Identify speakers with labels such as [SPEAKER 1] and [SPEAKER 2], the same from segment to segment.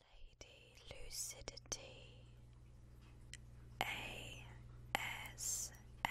[SPEAKER 1] Lady Lucidity ASMR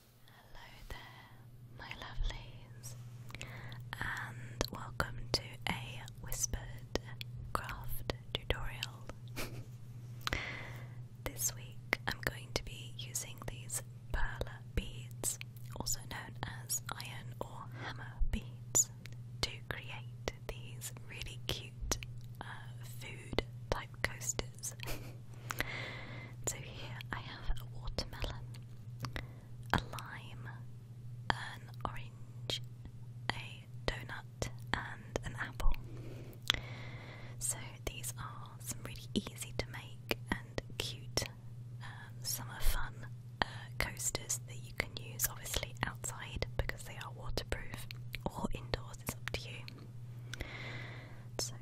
[SPEAKER 1] Hello there, my lovelies, and welcome to a whispered craft tutorial. this week I'm going to be using these pearl beads, also known as iron or hammer beads, to create these really cute uh, food type coasters. So here I have a watermelon, a lime, an orange, a donut, and an apple. So these are some really easy to make and cute summer fun uh, coasters that you can use obviously outside because they are waterproof or indoors, it's up to you. So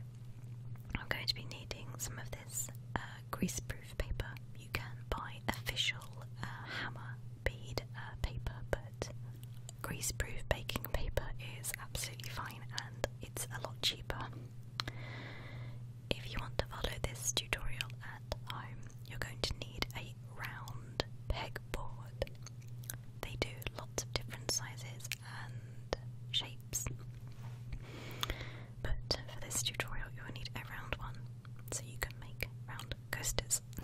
[SPEAKER 1] I'm going to be needing some of of uh, greaseproof paper. You can buy official uh, hammer bead uh, paper, but greaseproof baking paper is absolutely fine and it's a lot cheaper. If you want to follow this tutorial at home, you're going to need a round peg board. They do lots of different sizes and shapes. But for this tutorial, you will need a round one, so you can make round coasters.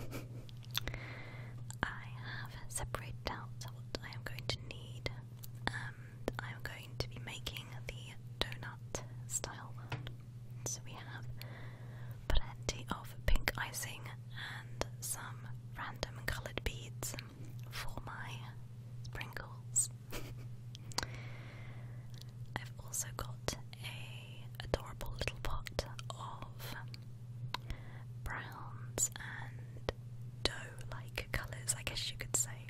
[SPEAKER 1] I have separated out what I am going to need, and um, I am going to be making the donut style one. So we have plenty of pink icing and some random coloured beads for my sprinkles. I've also got a adorable little pot of browns and dough-like colours, I guess you could say.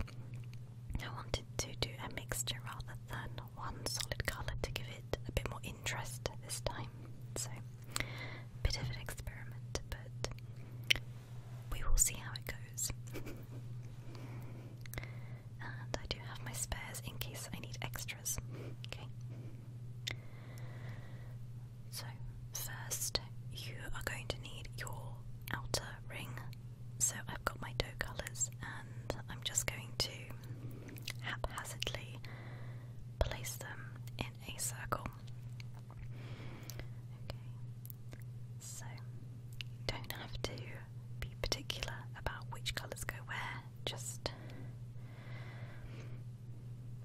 [SPEAKER 1] I wanted to do a mixture rather than one solid colour to give it a bit more interest this time. So, bit of an experiment, but we will see how it goes. and I do have my spares in case I need extras. Okay. So, first, you are going to need your outer ring. So, I've got my dough colours, and I'm just going to haphazardly place them in a circle. Okay, so you don't have to be particular about which colours go where, just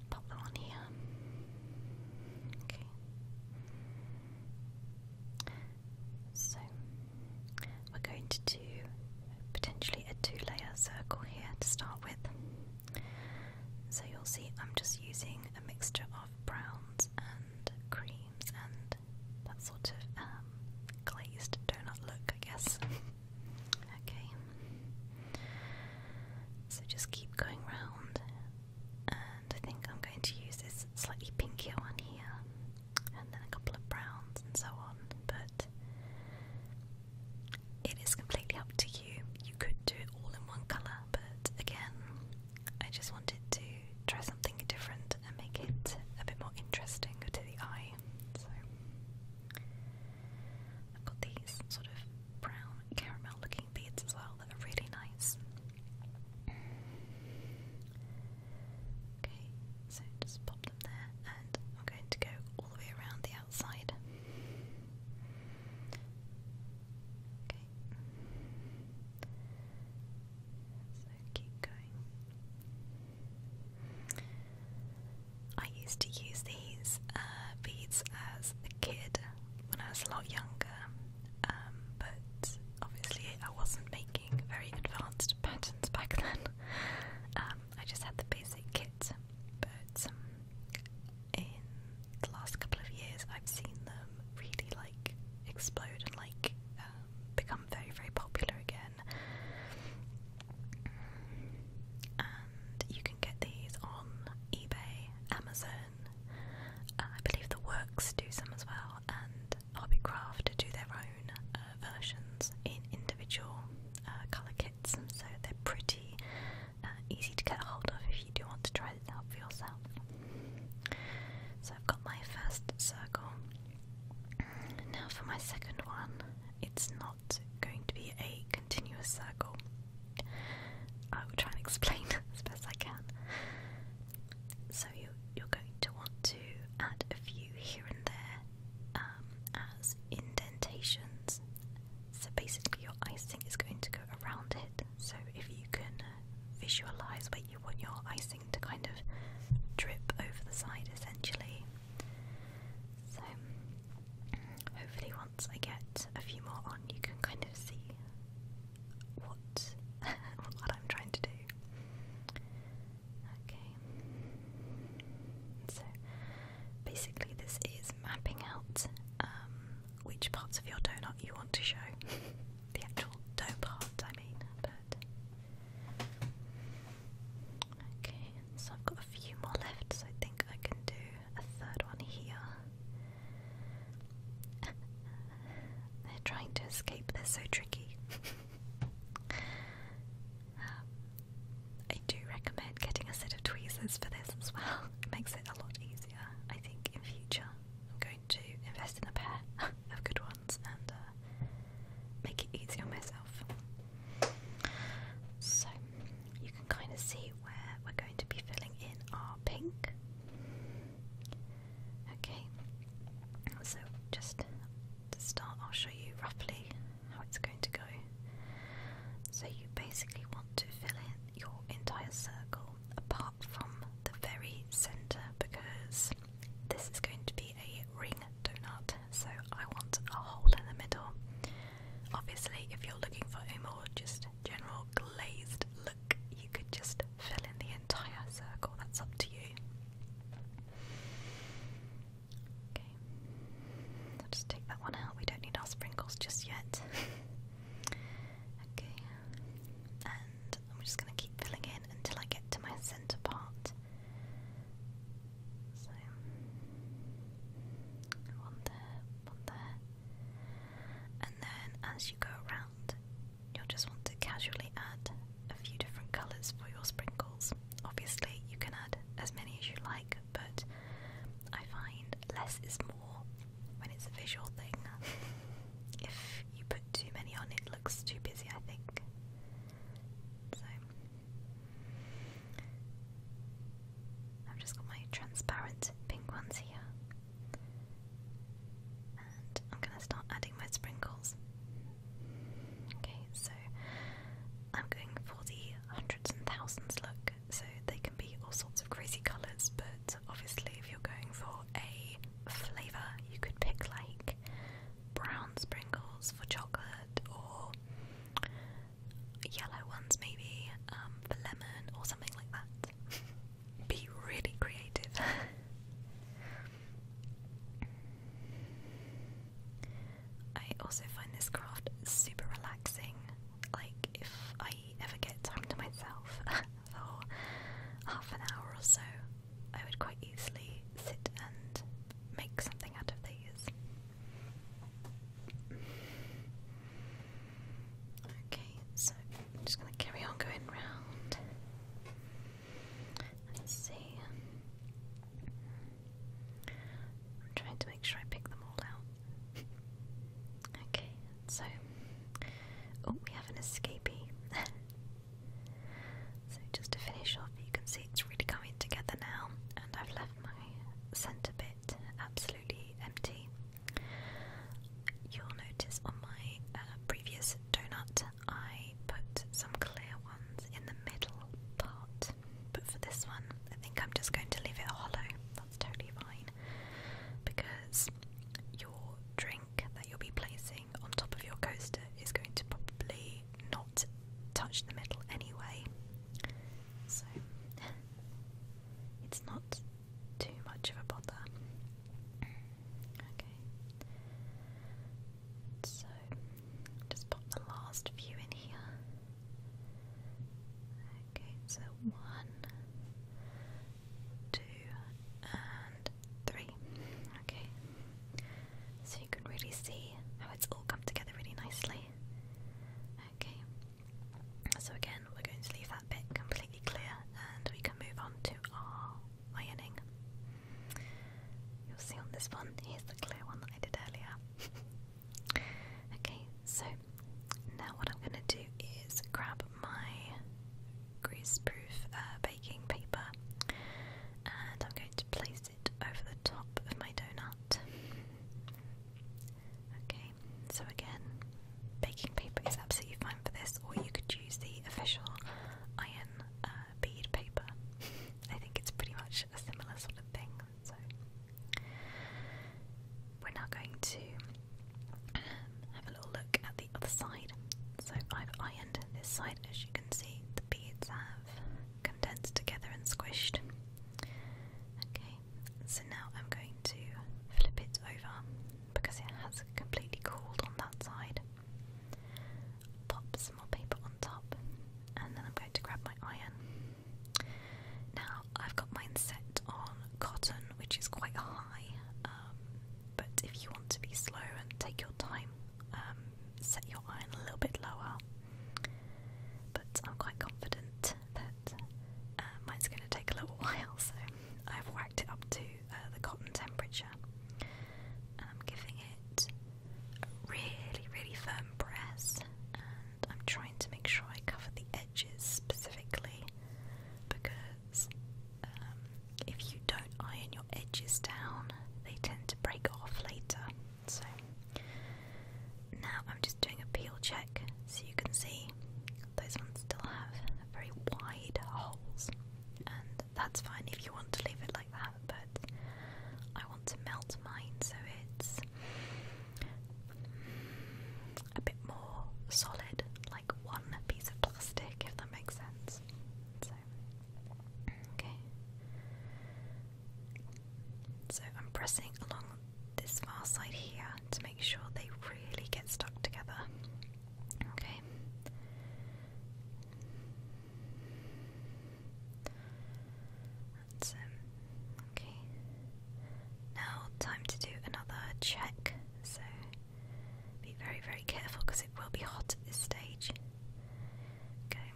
[SPEAKER 1] pop them on here. Okay. So we're going to do potentially a two layer circle here to start with. So you'll see I'm just using a mixture of browns and creams and that sort of um, glazed donut look, I guess. okay. So just keep going round, and I think I'm going to use this slightly pinkier one here, and then a couple of browns and so on, but it is completely up to you you. could do it all in one colour, but again, I just wanted to try something different and make it a bit more interesting to the eye. So I've got these sort of brown caramel looking beads as well that are really nice. Okay, so just pop them there and I'm going to go all the way around the outside. Okay. So keep going. I used to use these uh, beads as a kid when I was a lot younger, um, but obviously I wasn't making very advanced patterns back then. Um, I just had the basic kit but um, in the last couple of years, I've seen them really like explode and like um, become very, very popular again. And you can get these on eBay, Amazon. Uh, I believe the Works do some as well, and Hobbycraft do their own uh, versions in individual uh, color kits. So they're pretty uh, easy to get a hold of if you do want to try this out for yourself. So I've got my first circle. Now for my second one, it's not going to be a continuous circle. I will try and explain as best I can. So you, you're going to want to add a few here and there um, as indentations. So basically, your eyes is going to go around it. So if you can uh, visualize where you want your icing to kind of drip over the side essentially. So hopefully once I get a few more on you can kind of see what what I'm trying to do. Okay. So basically this is mapping out um, which parts of your donut you want to show. the actual dough part, I mean, but okay, so I've got a few more left, so I think I can do a third one here. They're trying to escape, they're so tricky. Um, I do recommend getting a set of tweezers for this as well. It makes it a lot easier, I think, in future. I'm going to invest in a pair of good ones and uh, make it easy on myself. So you can kind of see where we're going to be filling in our pink. Okay, so just to start, I'll show you roughly how it's going to go. So you basically want to fill in your entire circle apart from the very centre because this is going to be a ring donut. So I want a hole in the middle. Obviously, if you're looking for a more just general glazed look, you could just fill in the entire circle. That's up to you. I'll just take that one out. We don't need our sprinkles just yet. okay. And I'm just going to keep filling in until I get to my centre part. So, one there, one there. And then as you go around, you'll just want to casually add a few different colours for your sprinkles. Obviously, you can add as many as you like, but I find less is more when it's a visual thing. if you put too many on, it looks too busy, I think. So, I've just got my transparent pink ones here. And I'm going to start adding my sprinkles. Okay, so I'm going for the hundreds and thousands look, so they can be all sorts of crazy colours, but obviously if you're going for a flavour, you could pick like brown sprinkles for chocolate, or yellow ones maybe um, for lemon, or something like that. be really creative. I also find this craft super relaxing. Like, if I ever get time to myself for half an hour or so, I would quite easily sit and make something out of these. Okay, so I'm just going to carry on going round. Let's see. I'm trying to make sure I pick them all out. okay, so oh, we have an escapee. so just to finish off, you can see it's really coming together now, and I've left my centre bit absolutely empty. You'll notice on my uh, previous donut, I put some clear ones in the middle part but for this one, I think I'm just going to leave it hollow. That's totally fine. Because your drink that you'll be placing on top of your coaster is going to probably not touch the middle anyway. So it's not too much of a bother. Okay. So just pop the last view in here. Okay, so one, two, and three. Okay, so you can really see how it's all come together really nicely. Okay, so again, we're going to leave that bit completely clear and we can move on to our ironing. You'll see on this one. Here's the clear one that I did earlier. okay, so now what I'm going to do is grab my greaseproof uh, baking paper and I'm going to place it over the top of my donut. Okay, so again, baking paper is absolutely fine for this, or you could use the official iron uh, bead paper. I think it's pretty much a similar sort of thing. So we're now going to um, have a little look at the other side. So I've ironed this side, as you can see, the beads have condensed together and squished. Okay, so now I'm going to flip it over because it has completely cooled on that side. Pops more paper on top, and then I'm going to grab my iron. Now, I've got mine set on cotton, which is quite high, um, but if you want to be slow and take your time, um, set your iron a little bit lower. But I'm quite confident that uh, mine's going to take a little while, so I've whacked it up to uh, the cotton temperature. And I'm giving it a really, really firm press, and I'm trying to make sure I cover the edges specifically because um, if you don't iron your edges down, they tend to break off later. So now I'm just doing a peel check so you can see those ones still have very wide holes, that's fine if you want to leave it like that, but I want to melt mine so it's a bit more solid, like one piece of plastic, if that makes sense. So, okay. So I'm pressing along this far side here to make sure they really get stuck together. Okay okay. Now time to do another check. So be very very careful because it will be hot at this stage.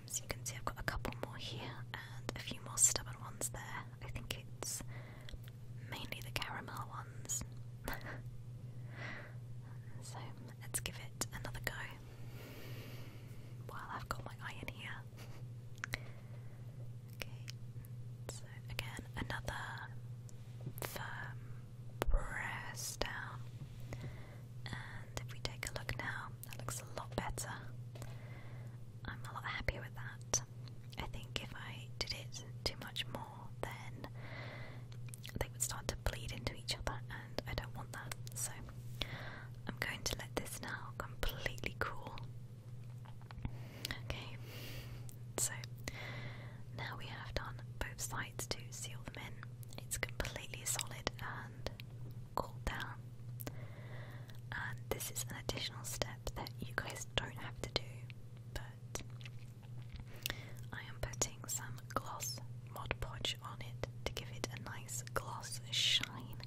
[SPEAKER 1] so you can see I've got a couple more here and a few more stubborn ones there. I think it's mainly the caramel ones. so let's give it another go well, I've got my eye in here. Okay, so again, another firm press down. And if we take a look now, that looks a lot better. I'm a lot happier with that. I think if I did it too much more, then they would start to bleed into each other, and I don't want that. So I'm going to let this now completely cool. Okay, so now we have done both sides to seal them in. It's completely solid and cooled down. And this is an additional step that you guys don't have to do, but I am putting some gloss Mod Podge on it to give it a nice gloss shine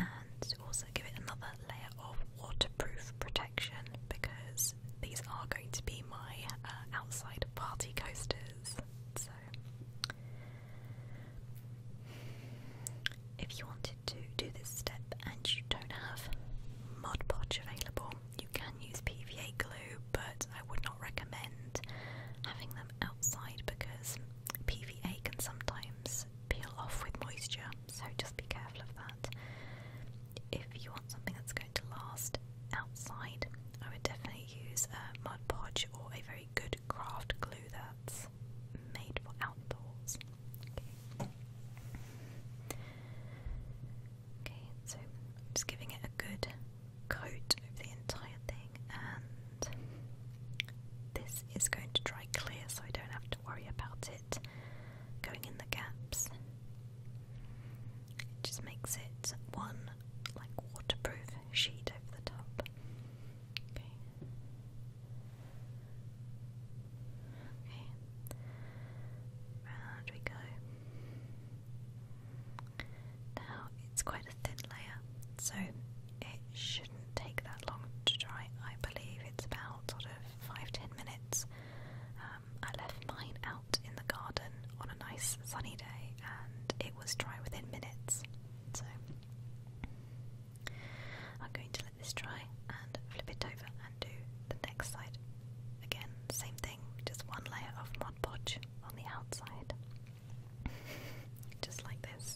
[SPEAKER 1] and also give it another layer of waterproof protection because these are going to be my uh, outside party coasters. So, if you wanted to do this step and you don't have Mod Podge available, you can use PVA glue, but I would not recommend having them outside because PVA can sometimes peel off with moisture, so just be careful of that. If you want something that's going to last outside, I would definitely use a Mod Podge or a very good craft glue that's made for outdoors. Okay, so just giving it a good coat over the entire thing, and this is going to dry clear so I don't have to worry about it going in the gaps. It just makes it one like waterproof sheet over the top. Okay. Okay. Round we go. Now it's quite a thin layer, so it shouldn't take that long to dry. I believe it's about sort of five ten minutes. Um, I left mine out in the garden on a nice sunny day, and it was dry within minutes. So I'm going to let this dry and flip it over and do the next side. Again, same thing, just one layer of Mod Podge on the outside. just like this.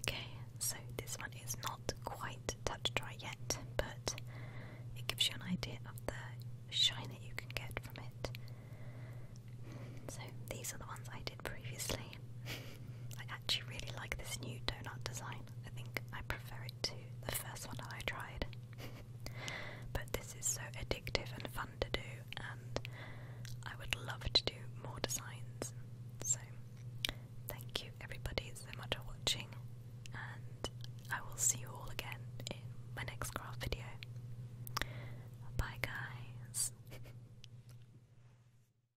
[SPEAKER 1] Okay, so this one is not quite touch dry yet, but it gives you an idea of the shine that you can get from it. So these are the ones I did previously. actually really like this new donut design. I think I prefer it to the first one that I tried. but this is so addictive and fun to do, and I would love to do more designs. So, thank you everybody so much for watching, and I will see you all again in my next craft video. Bye, guys.